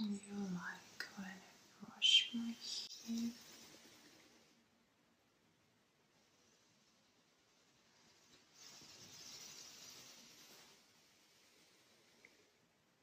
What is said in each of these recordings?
You like when I brush my hair?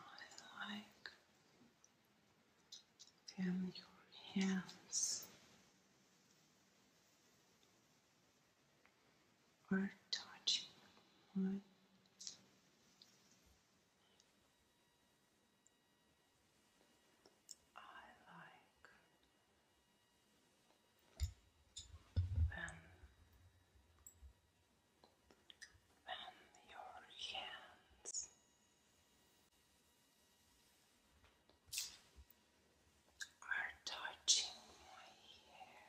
I like feel your hands are touching mine. I like when when your hands are touching my hair.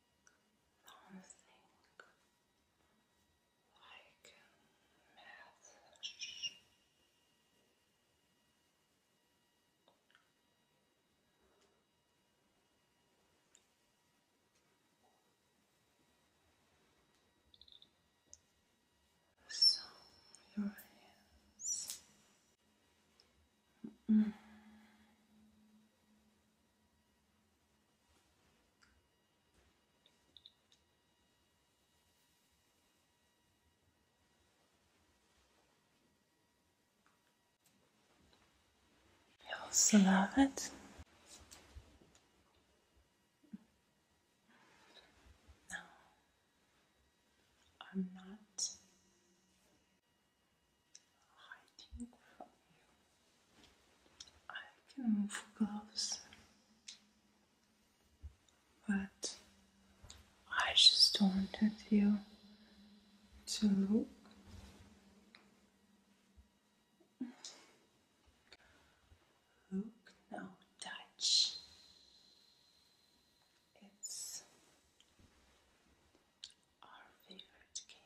something like a message. So your hands you also love it. No, I'm not hiding from you. I can move gloves, but I just wanted you to look. Look now, touch. It's our favorite game.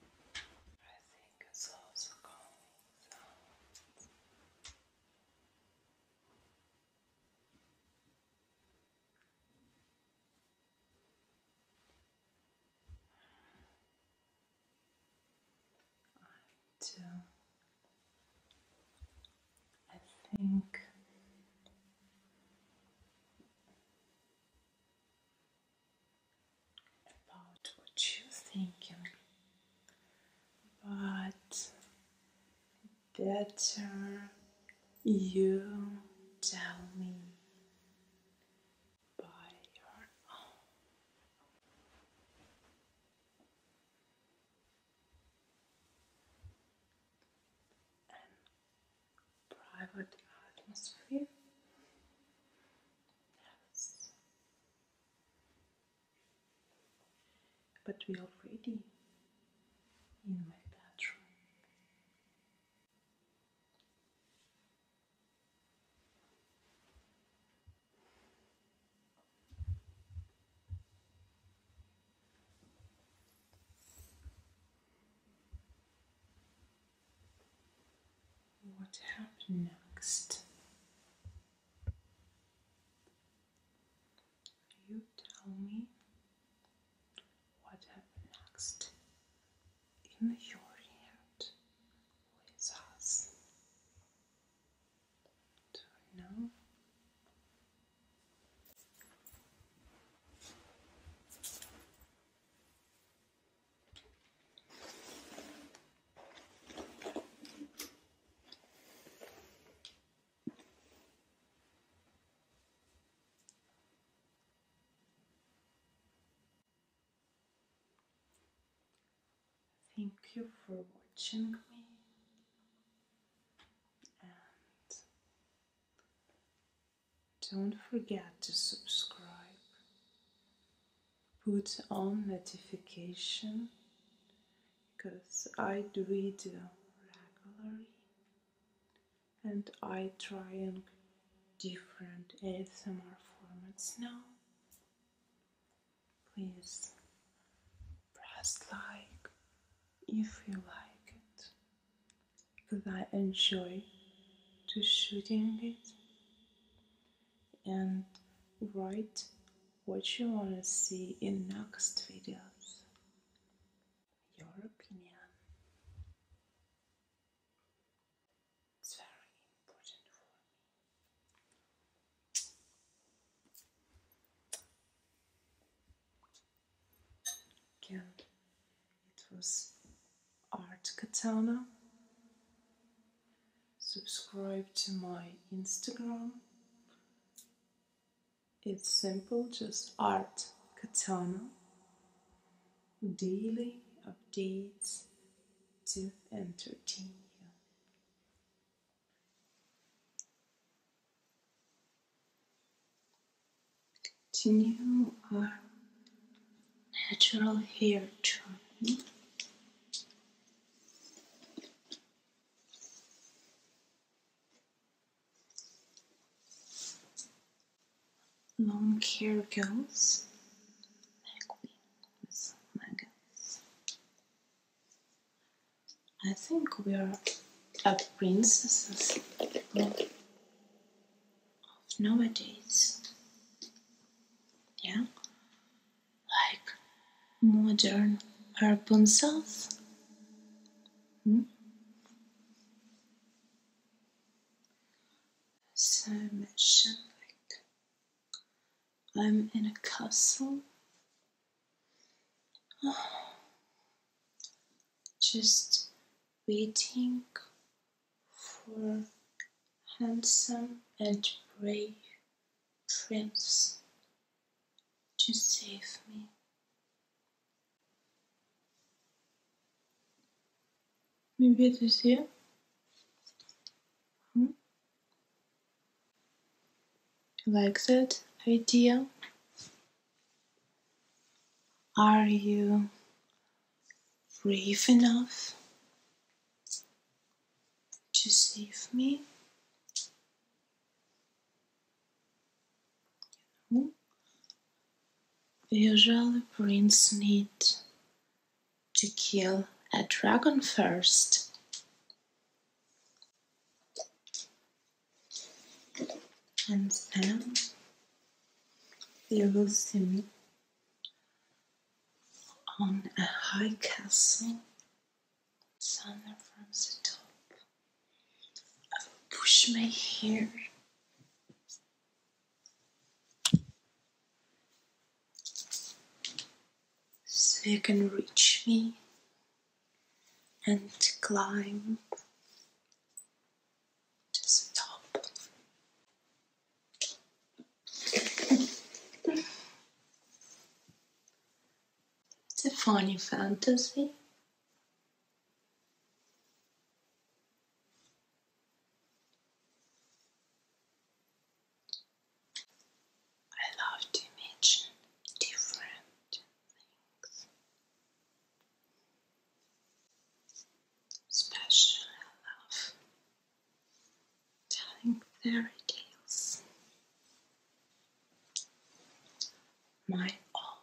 Breathing is also calming sounds. Right. I think about what you're but better you tell me by your own. And private atmosphere. Yes. But we already in my bedroom. What happened next? You tell me what happened next in your head with us. Do you know? Thank you for watching me and don't forget to subscribe. Put on notification because I do video regularly and I try trying different ASMR formats now. Please press like if you like it, because I enjoy to shooting it and write what you want to see in next videos. Your opinion. It's very important for me. Again, it was Art Katana. Subscribe to my Instagram. It's simple, just Art Katana daily updates to entertain you. To new our natural hair trim long hair goes I think we are a princesses of nowadays. Yeah, like modern Rapunzel. Hmm? So much like I'm in a castle. Oh, just waiting for handsome and brave prince to save me. Maybe it is here. Hmm. Like that idea. Are you brave enough to save me? Usually princes need to kill a dragon first. And then you will see on a high castle, thunder from the top. I will push my hair. So you can reach me and climb to the top. it's a funny fantasy I love to imagine different things. Special I love telling fairy tales. My all.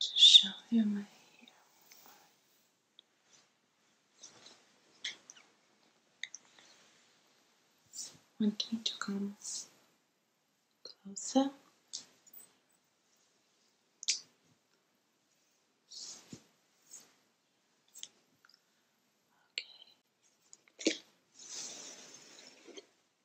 to show you my Want me to come closer. Okay.